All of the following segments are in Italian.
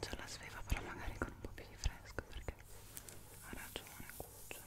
Già la sveva però magari con un po' più di fresco perché ha ragione cucciolo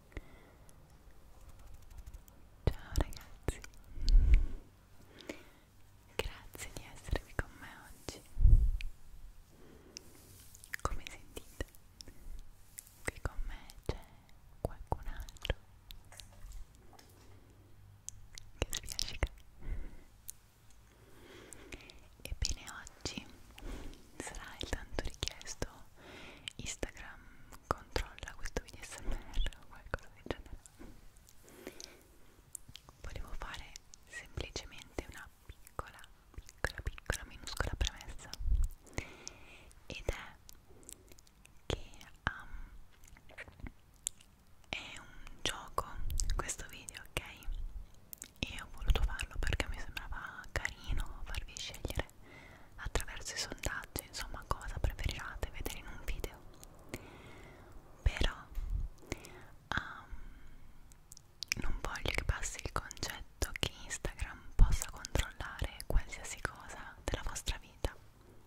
Ciao ragazzi, grazie di essere qui con me oggi. Come sentite, qui con me c'è qualcun altro che spiacica. Ebbene oggi sarà il tanto richiesto Instagram controlla questo video smr o qualcosa del genere volevo fare semplicemente una piccola piccola piccola minuscola premessa ed è che um, è un gioco questo video ok e ho voluto farlo perché mi sembrava carino farvi scegliere attraverso i sondaggi, insomma cosa preferirate vedere in un video. Però um, non voglio che passi il concetto che Instagram possa controllare qualsiasi cosa della vostra vita.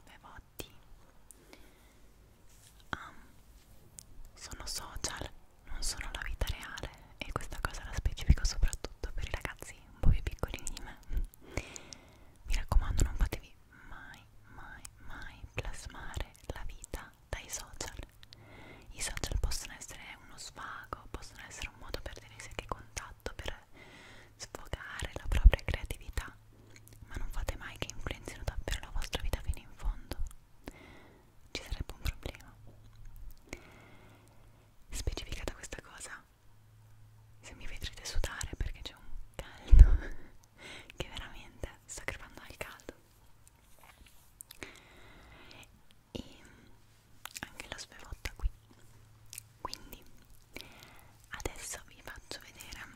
Bevotti. Um, ehm, sono social, non sono la vita reale e questa cosa la specifico soprattutto per i ragazzi un po' più piccolini di me mi raccomando non fatevi mai mai mai plasmare la vita dai social i social possono essere uno svago possono essere un modo per tenersi anche contatto per sfogare la propria creatività ma non fate mai che influenzino davvero la vostra vita fino in fondo ci sarebbe un problema specificata questa cosa se mi vedrete sudare perché c'è un caldo che veramente sto crepando al caldo e anche la svevotta qui quindi adesso vi faccio vedere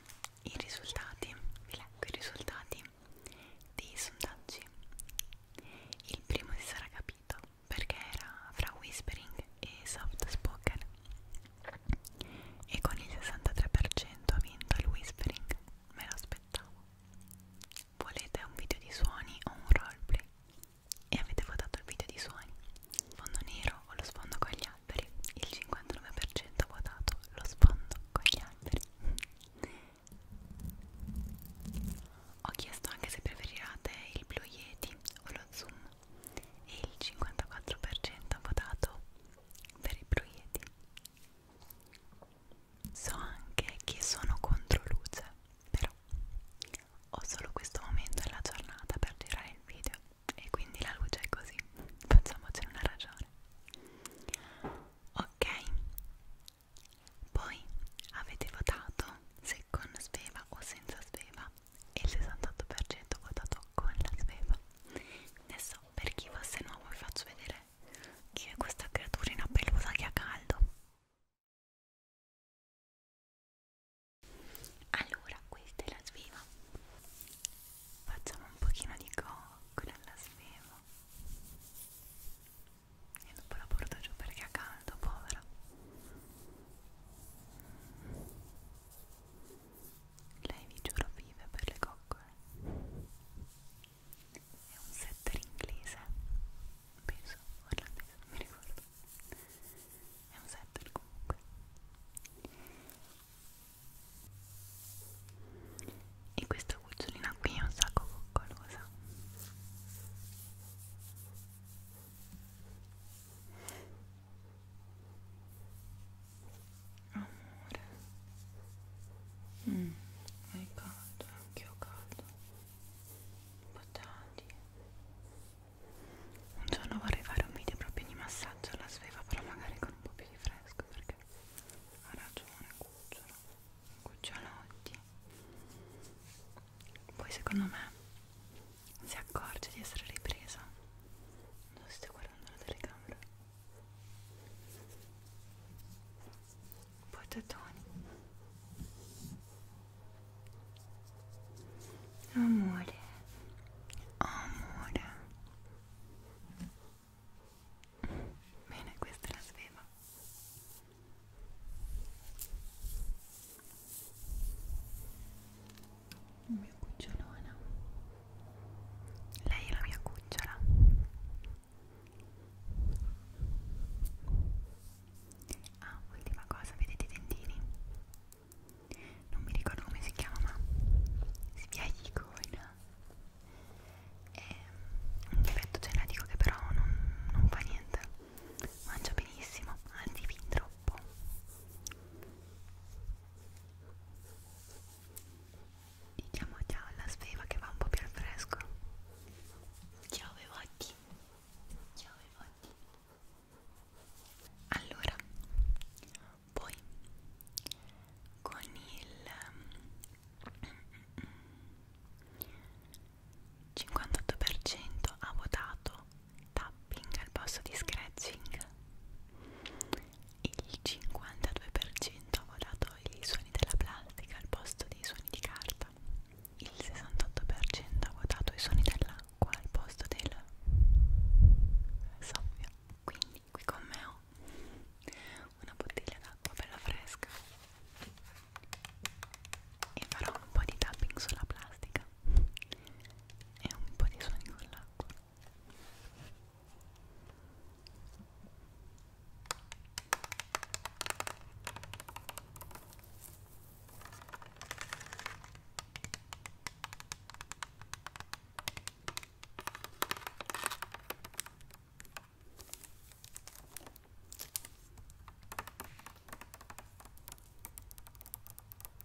i risultati vi leggo i risultati dei sondaggi il primo si sarà capito perché era fra whispering e soft spoken e con il 63% ha vinto il whispering, me lo aspettavo. Volete un video di suoni o un roleplay? E avete votato il video di suoni. Fondo nero o lo sfondo con gli alberi? Il 59% ha votato lo sfondo con gli alberi. Ho chiesto anche se preferirate il Blue Yeti o lo Zoom e il 54% ha votato per i proieti. So anche che sono contro luce, però ho solo questo momento della giornata per girare il video e quindi la luce è così, facciamocene una ragione. Ok, poi avete votato se con sveva o senza sveva e il 68% votato con la sveva adesso per chi fosse nuovo vi faccio vedere chi è questa creaturina pelusa che ha caldo allora questa è la sveva facciamo un pochino di coccola alla sveva e dopo la porto giù perché ha caldo povera lei vi giuro vive per le coccole. È un setter inglese, penso, orlandese, non mi ricordo. È un setter comunque. E questa cucciolina qui è un sacco coccolosa. Amore. Mm, è caldo, anch'io caldo. Potati. Un giorno vorrei fare un video proprio di massaggio alla sveva, però magari con un po' più di fresco perché ha ragione, cucciolo, cucciolotti poi secondo me si accorge di essere ripresa non so se guardando la telecamera poi Totoni amore amore bene questa è la sveva mia cucciolona lei è la mia cucciola ah ultima cosa vedete i dentini non mi ricordo come si chiama ma sbiaglicona è ehm, un difetto genetico che però non, non fa niente mangia benissimo, anzi fin troppo diciamo già alla sveva che va un po' più al fresco ciao Bevotti ciao Bevotti allora poi con il 58% mm, mm, mm, ha votato tapping al posto di scratching il 52% ha votato i suoni della plastica al posto dei suoni di carta il 68% ha votato i suoni dell'acqua al posto del soffio quindi qui con me ho una bottiglia d'acqua bella fresca e farò un po' di tapping sulla plastica e un po' di suoni con l'acqua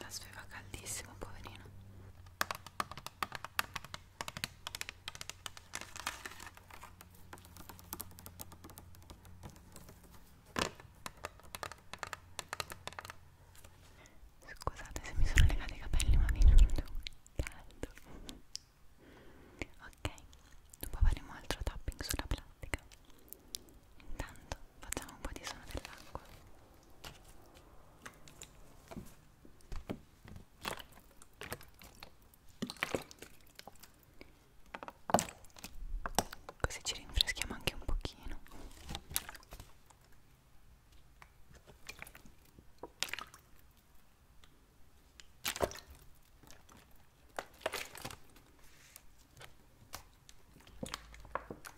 la sveva caldissimo poverino Scusate se mi sono legati i capelli ma vi giuro caldo Ok, dopo faremo altro tapping sulla plastica Intanto facciamo un po' di suono dell'acqua Così ci rinfreschiamo anche un pochino.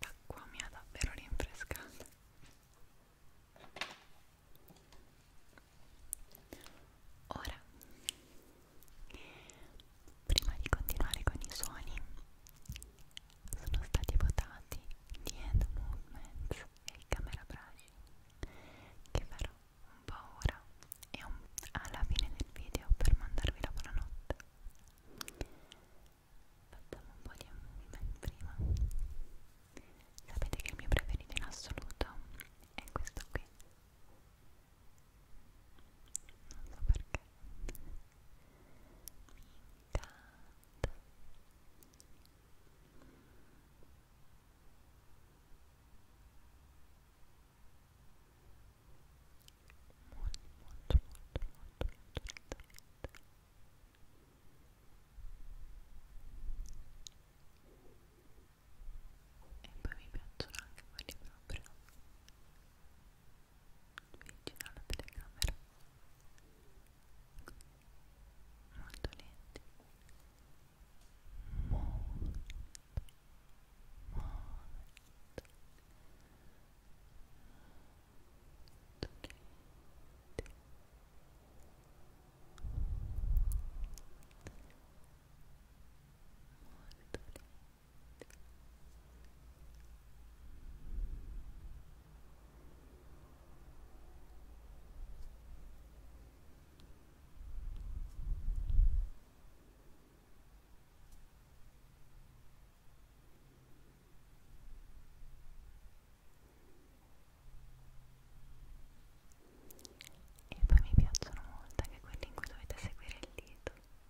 L'acqua mi ha davvero rinfrescata. Ora Prima di continuare con i suoni, sono stati votati The End Movements e il Camera Brush, che farò un po' ora e un, alla fine del video per mandarvi la buonanotte. Facciamo un po' di movement prima. Sapete che il mio preferito in assoluto è questo qui non so perché mi incanta molto molto molto molto molto lentamente e poi mi piacciono anche quelli proprio vicino alla telecamera molto lenti molto molto molto lenti molto lenti e poi mi piacciono molto anche quelli in cui dovete seguire il dito.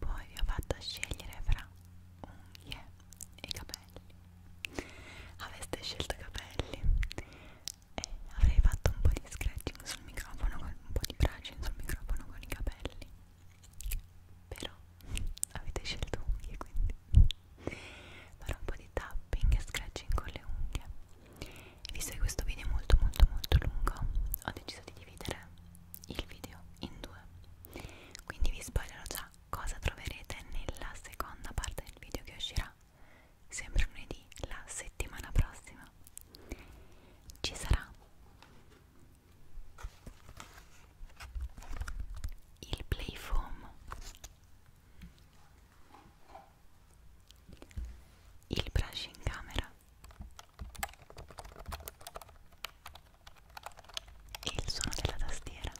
Poi vi ho fatto scegliere fra unghie e capelli. Aveste scelto capelli e eh, avrei fatto un po' di scratching sul microfono, un po' di brushing sul microfono con i capelli però avete scelto unghie quindi farò un po' di tapping e scratching con le unghie e visto che questo video è molto molto molto lungo ho deciso di dividere il video in due quindi vi spoilerò già cosa troverete nella seconda parte del video che uscirà sempre lunedì la settimana prossima ci sarà il play foam il brush in camera e il suono della tastiera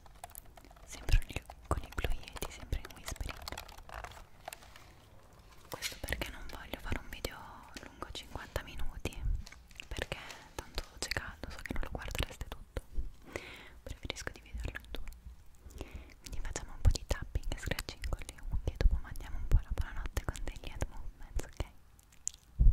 sempre con i blu yeti sempre in whispering questo perché non voglio fare un video lungo 50 minuti perché tanto c'è caldo so che non lo guardereste tutto preferisco dividerlo in due quindi facciamo un po' di tapping e scratching con le unghie e dopo mandiamo un po' la buonanotte con degli head movements ok? Ecco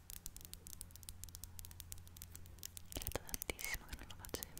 È tantissimo che non lo facevo.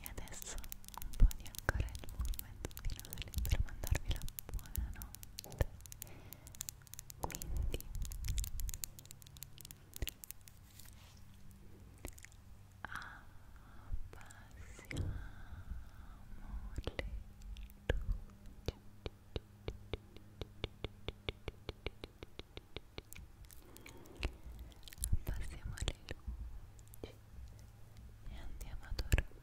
E adesso un po' di ancora il movimento finale per mandarvi la buonanotte quindi abbassiamo le luci abbassiamo le luci e andiamo a dormire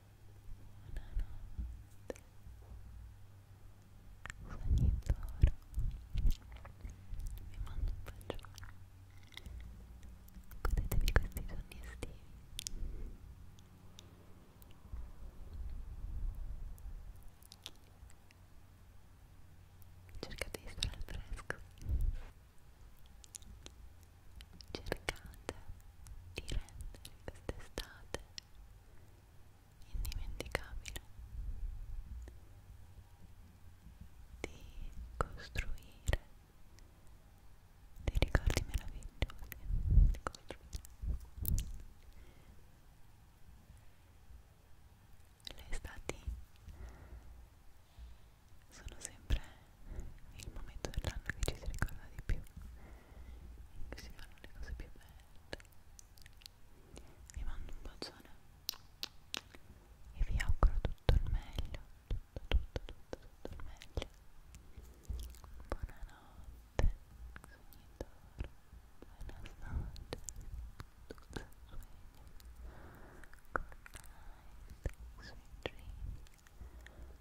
mando un bacione godetevi questi giorni estivi cercate di stare al fresco cercate di rendere quest'estate indimenticabile di costruire dei ricordi meravigliosi di costruire le estati sono sempre il momento dell'anno che ci si ricorda di più che si fanno le cose più belle vi mando un bacione e vi auguro tutto il meglio tutto tutto tutto tutto il meglio buonanotte sognitor buonasnotte tutto sogno good night sweet dreams